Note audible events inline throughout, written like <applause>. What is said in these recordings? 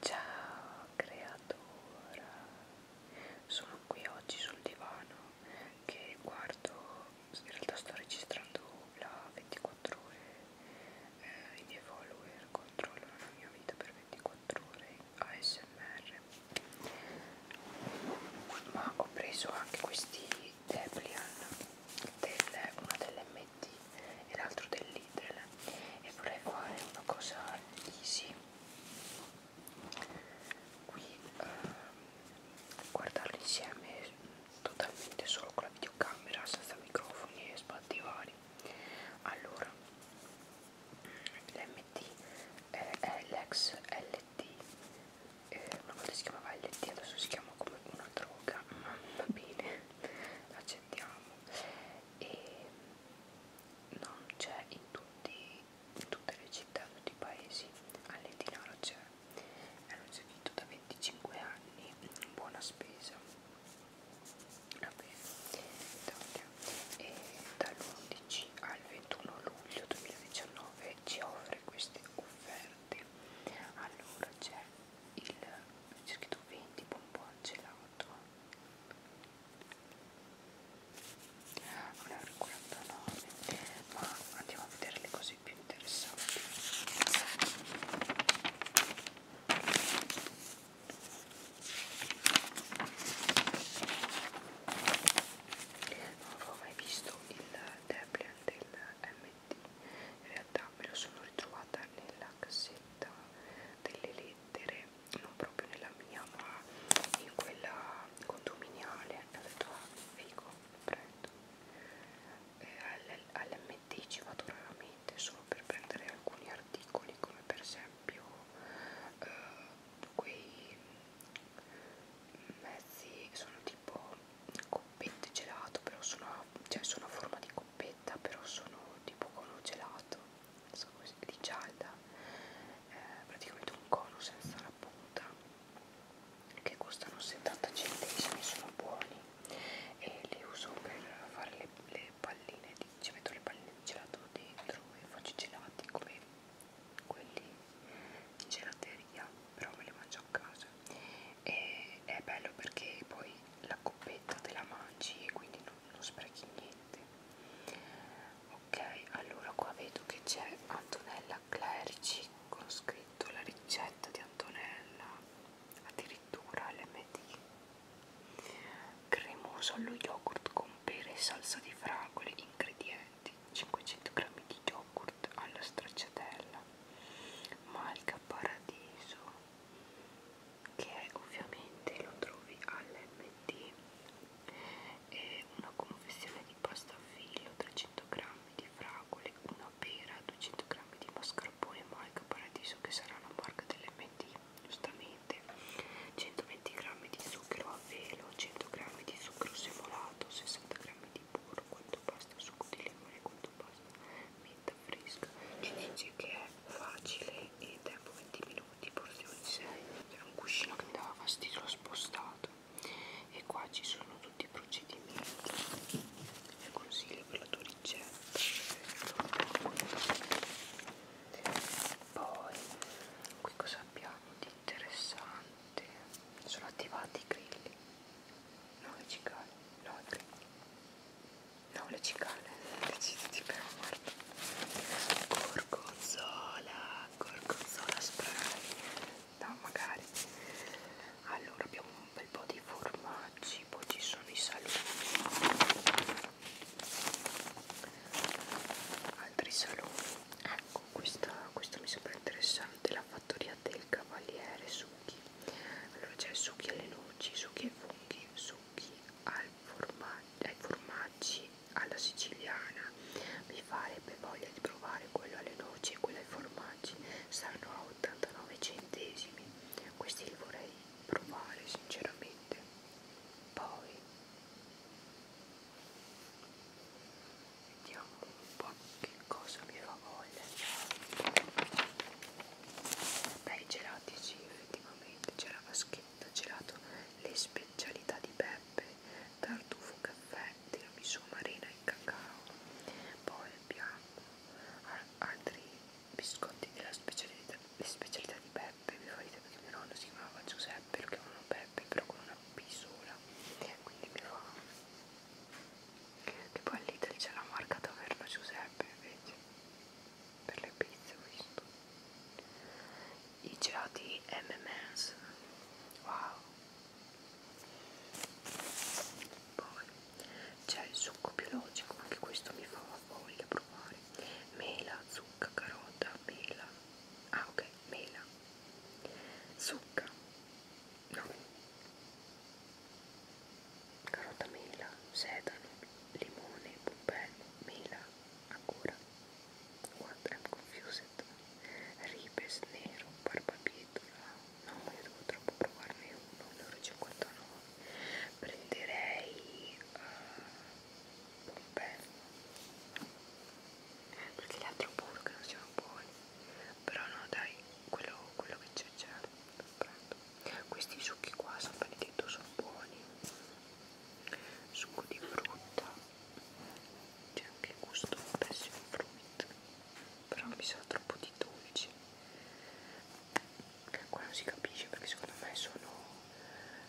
Ciao creatura, sono qui oggi sul divano che guardo, in realtà sto registrando la 24 ore, eh, i miei follower controllano la mia vita per 24 ore ASMR, ma ho preso anche questi Deplian, delle, una delle MT e l'altro del Lidl e vorrei fare una cosa easy qui eh, guardarli insieme totalmente solo con la videocamera senza microfoni e spatti vari allora l'MT è, eh, è l'ex LT eh, una volta si chiamava LT adesso si chiama come una droga ma va bene l'accettiamo <laughs> e non c'è in, in tutte le città, in tutti i paesi, all'Etinaro c'è, è un servizio da 25 anni, buona spesa, va bene, e dall'11 al 21 luglio 2019 ci offre queste offerte, allora c'è il c'è scritto 20 bonbon gelato voto 1,49 ma andiamo a vedere le cose più interessanti non avevo mai visto il tablet del MD in realtà me lo sono ritrovata nella cassetta scritta delle lettere, non proprio nella mia ma in quella condominiale, ho detto ecco, ah, figo, prendo. E eh, all'MT ci vado raramente solo per prendere alcuni articoli come per esempio eh, quei mezzi sono tipo coppette gelato però sono, cioè sono a forma di coppetta coppetta però sono tipo cono gelato so così, di gialda eh, praticamente un cono senza la punta che costano 70 centesimi sono buoni e li uso per fare le, le palline di, ci metto le palline di gelato dentro e faccio i gelati come quelli di gelateria però me li mangio a casa e è bello perché poi la coppetta te la mangi e quindi non non sprechi niente ok allora qua vedo che c'è Antonella Clerici con scritto la ricetta di Antonella addirittura LMD cremoso allo yogurt con pere e salsa di fragole ingredienti 500 g di yogurt alla stracciatella malga paradiso che ovviamente lo trovi all'MT è una confezione di pasta a filo 300 grammi di fragole una pera 200 grammi di mascarpone marca paradiso che sarà la marca dell'MT giustamente 120 grammi di zucchero a velo 100 grammi di zucchero semolato 60 grammi di burro quanto pasta succo di limone quanto pasta menta fresca e dice che è facile e tempo 20 minuti, porzioni 6 c'era un cuscino che mi dava fastidio, l'ho spostato e qua ci sono tutti i procedimenti e consigli per la tua ricetta poi qui cosa abbiamo di interessante sono attivati i grilli no i cicali no i grilli No, le cicale, deciditi però guarda. Gorgonzola, gorgonzola spray. No, magari. Allora abbiamo un bel po' di formaggi, poi ci sono i salumi. Altri salumi. Ecco, questa, questa mi sembra interessante, la fattoria del cavaliere succhi. Allora c'è succhi alle noci, succhi ai funghi, su zucchi al formag ai formaggi alla siciliana mi farebbe voglia di provare quello alle noci e quello ai formaggi stanno a 89 centesimi questi li vorrei provare sinceramente poi vediamo un po' che cosa mi fa voglia bei gelati sì effettivamente c'era vaschetta, gelato le specialità di Peppe tartufo, caffè, tiramisù marina e cacao poi abbiamo altri biscotti della specialità, le specialità di Peppe mi fa ridere perché mio nonno si chiamava Giuseppe lo chiamavano Peppe però con una P sola quindi mi fa che poi all'Italia c'è la marca Taverna Giuseppe invece per le pizze ho visto i gelati M&M's wow poi c'è il succo biologico anche questo mi fa voglia provare mela, zucca, carota, mela ah ok, mela zucca no carota mela, sedano, limone, pompello, mela, ancora. What? I'm confused. Ripes, nero, barbabietola. No, io devo troppo provarne uno. Allora 59. Prenderei uh, eh, pompello. Perché l'altro pure che non siamo buoni. Però no, dai, quello, quello che c'è già. Lo prendo questi succhi qua San Benedetto sono buoni succo di frutta c'è anche gusto passion fruit però mi sa troppo di dolci che qua non si capisce perché secondo me sono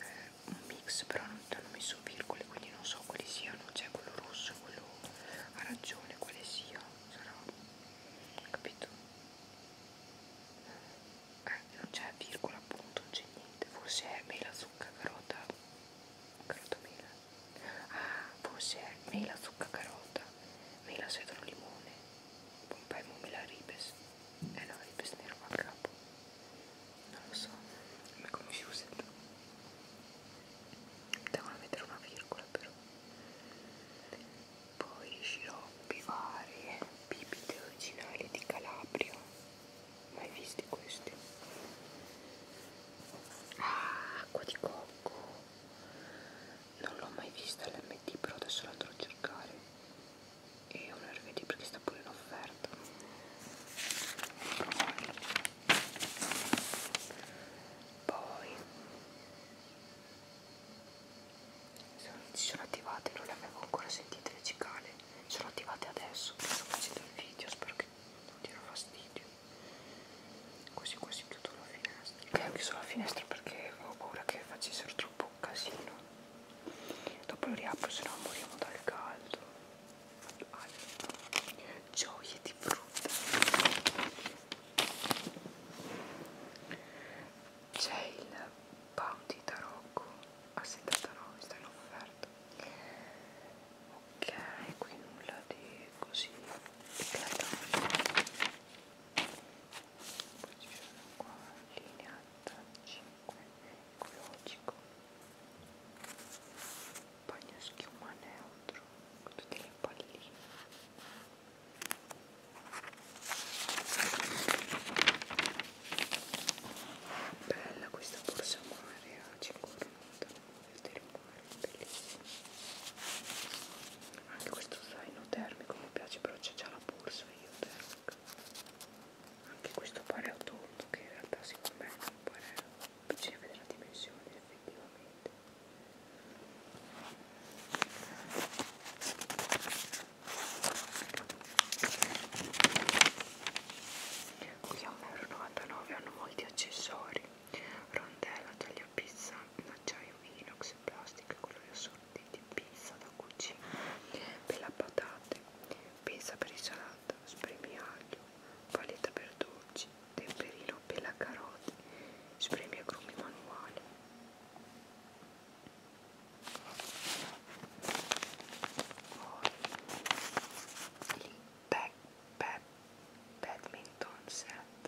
eh, un mix però non ti hanno messo virgole quindi non so quali siano c'è quello rosso e quello arancione quale sia sarà capito eh, non c'è virgola appunto non c'è niente forse è mela zucca carota carota mela ah forse è mela zucca carota mela sedano limone pompai mela ribes eh no ribes nero va a capo non lo so mi confused devono mettere una virgola però poi sciroppi vari, bibite originali di Calabria, mai visti questi? Ah, acqua di cocco, non l'ho mai vista all'MD però adesso la andrò a cercare e un RVD perché sta pure in offerta. Poi si sono attivate, non le avevo ancora sentite le cicale, sono attivate adesso che sto facendo il video, spero che non diano fastidio. Quasi quasi chiudo la finestra. Che ho chiuso la finestra perché ho paura che facessero troppo casino. Dopo lo riapro, se no moriamo dal caldo. Allora, gioie di frutta c'è il bounty tarocco a 79 sta in offerta ok qui nulla di così eclatante poi ci sono qua linea 5 ecologico bagno schiuma neutro tutte le palline Bella questa borsa mare a 5,99 del mare, bellissima. Anche questo zaino termico mi piace, però c'è già la borsa io termica. Anche questo pare tondo che in realtà secondo me non pare. Bisogna vedere la dimensione effettivamente qui a 1,99€ hanno molti accessori rondella, taglia pizza in acciaio inox, plastica e colori assortiti pizza da cucina per la patate pizza per insalata, spremi aglio paletta per dolci, temperino pela caroti, spremi agrumi manuali. Poi il back, back, badminton set.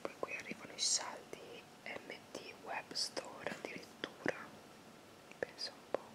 Poi qui arrivano i saldi MT Web Store addirittura. Penso un po'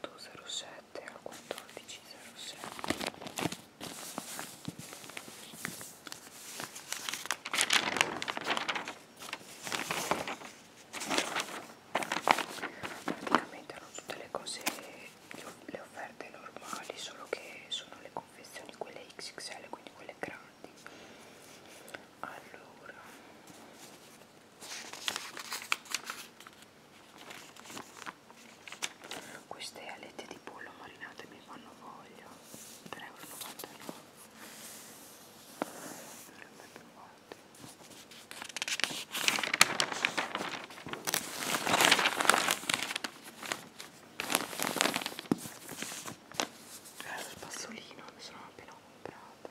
807 al 1407 praticamente erano tutte le cose le offerte normali solo che sono le confezioni quelle XXL quindi quelle grandi allora queste alette di pollo marinate mi fanno voglia, 3,99 euro. Era lo spazzolino, mi sono appena comprato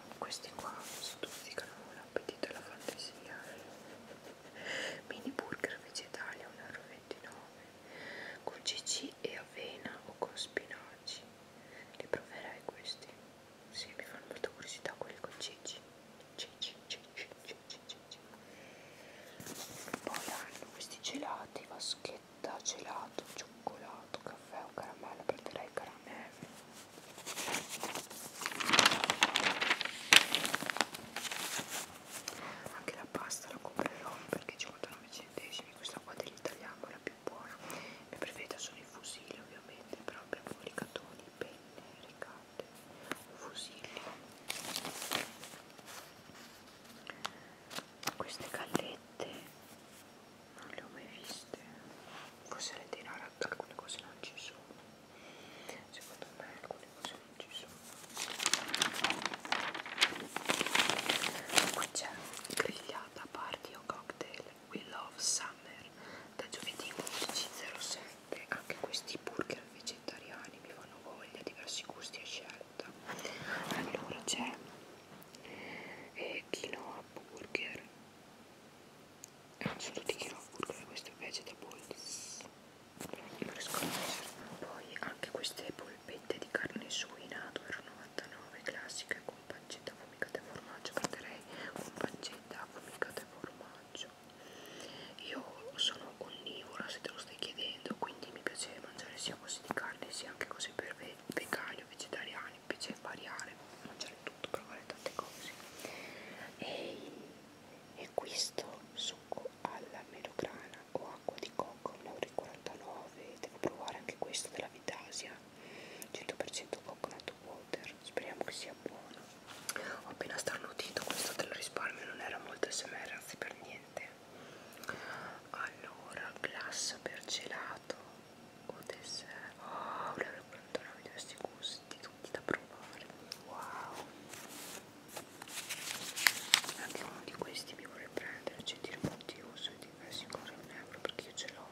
questi qua stuzzicano l'appetito e la fantasia mini burger vegetali a 1,29€ con cc e avena o con spinaci li proverai questi si sì, mi fanno molta curiosità quelli con cc cc cc cc cc poi hanno questi gelati vaschetta gelato cioccolato caffè o caramello prenderei il caramello anche la pasta la comprerò perché 59 centesimi questa qua dell'italiano è la più buona mia preferita sono i fusilli ovviamente però abbiamo i ricatoni, penne, ricate, fusilli queste gallette non le ho mai viste forse le denaro alcune cose non ci sono secondo me alcune cose non ci sono qui c'è grigliata party o cocktail we love summer da giovedì 11.07 anche questi burger vegetariani mi fanno voglia diversi gusti e scelta allora c'è eh, quinoa burger eh, è un solo di chilo burger queste vegetables per sconoscere poi anche queste polpette di carne suina 2,99 classiche con pancetta affumicata e formaggio prenderei con pancetta affumicata e formaggio io sono onnivora se te lo stai chiedendo quindi mi piace mangiare sia cose di carne sia anche cose per ve vegani o vegetariani mi piace variare mangiare tutto potuto provare tante cose e, e questo succo alla melograna o acqua di cocco 1,49€ devo provare anche questo della Vitasia 100% coconut water speriamo che sia buono ho appena starnutito questo te lo risparmio non era molto smr anzi per niente allora glassa per gelato o dessert oh 1,49€ di questi gusti tutti da provare wow anche uno di questi mi vorrei prendere c'è di uso e diversi con un euro perché io ce l'ho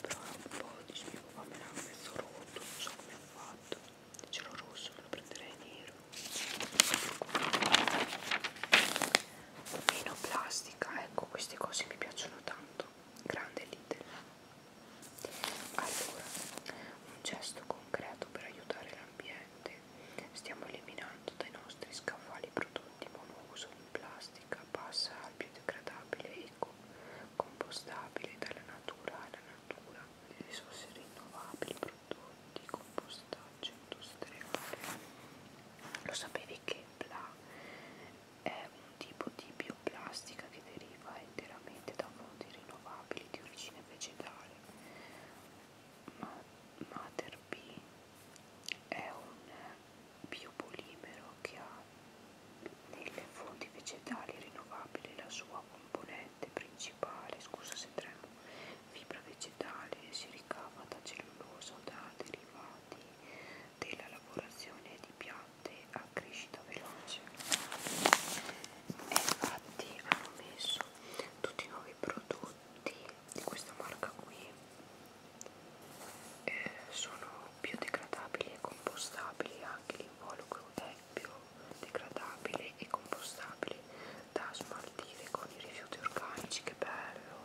però un po' dicevo vabbè l'ha mezzo rotto non so come ho fatto se ce l'ho rosso me lo prenderei nero meno plastica ecco queste cose mi piacciono tanto tutto grande Lidl allora un gesto concreto per aiutare l'ambiente stiamo eliminando dai nostri scaffali prodotti monouso in plastica passa al biodegradabile eco compostabile dalla natura alla natura le risorse rinnovabili prodotti compostaggio industriale lo sapevi che bla è un tipo di bioplastica che deriva interamente da fonti rinnovabili di origine vegetale. Ma Mater B è un biopolimero che ha nelle fonti vegetali rinnovabili la sua componente principale, scusa se tremo, fibra vegetale si ricava da cellulosa o da derivati della lavorazione di piante a crescita veloce e infatti hanno messo tutti i nuovi prodotti di questa marca qui eh, sono biodegradabili e compostabili anche l'involucro è biodegradabile e compostabile da smaltire con i rifiuti organici che bello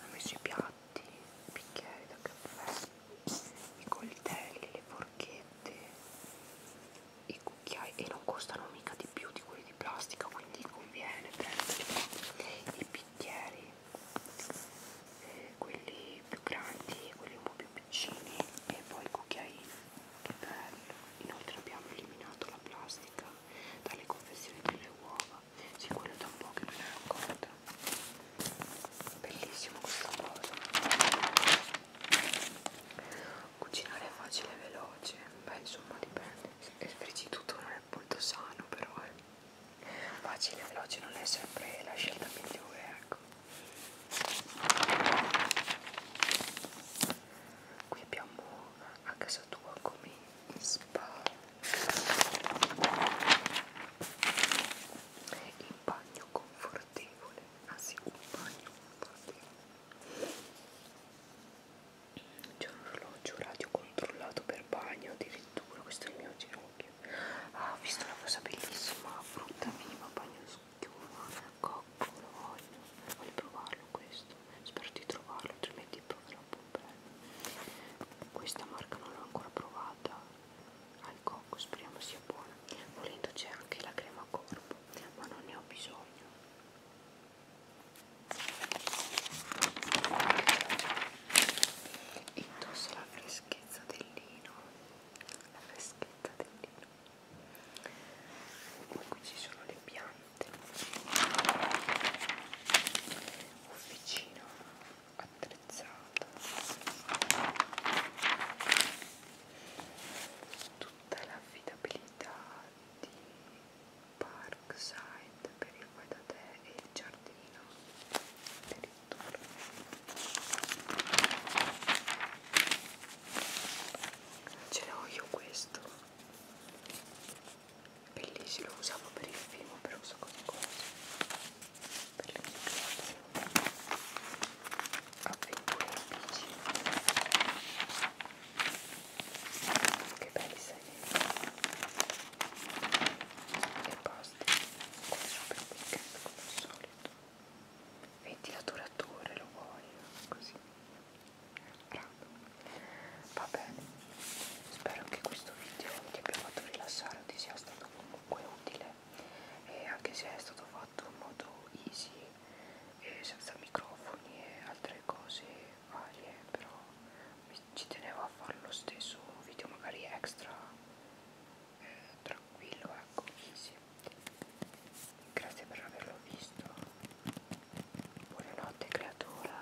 ha messo i piatti piatti, i bicchieri da caffè, i coltelli, le forchette, i cucchiai e non costano mica di più di quelli di plastica, quindi conviene prendere i bicchieri, eh, quelli più grandi, quelli un po' più piccini e poi i cucchiaini, che bello! Inoltre abbiamo eliminato la plastica dalle confezioni delle uova sì quello da un po' che me ne ero accorta bellissimo questo coso cucinare è facile e veloce beh insomma dipende il friggiduto non è molto sano però eh. facile e veloce non è sempre la scelta migliore ecco qui abbiamo a casa tua come in spa il bagno confortevole, ah sì, un bagno confortevole. C'è un orologio radio controllato per bagno, addirittura questo è il mio ginocchio. Ah, ho visto una cosa bellissima, frutta minima, bagno schiuma, cocco, lo voglio. Voglio provarlo questo, spero di trovarlo, altrimenti tipo troppo bello questa marca non l'ho ancora provata al cocco speriamo sia buona volendo c'è anche la crema corpo ma non ne ho bisogno indossa la freschezza del lino la freschezza del lino poi qui ci sono le piante officina attrezzata tutta l'affidabilità di Parkside per il fai da te e il giardino addirittura ce l'ho io questo bellissimo, lo usavo per il film, per un sacco di cose, per le mie avventure in bici. Che belli segnali. E basta, come super weekend come al solito. Ventilatore attore lo voglio, così. Bravo. Vabbè, spero che questo video ti abbia fatto rilassare, ti sia stato comunque utile e anche se è stato fatto in modo easy e senza microfoni e altre cose varie, però ci tenevo a fare lo stesso un video magari extra eh, tranquillo, ecco, easy. Grazie per averlo visto. Buonanotte creatura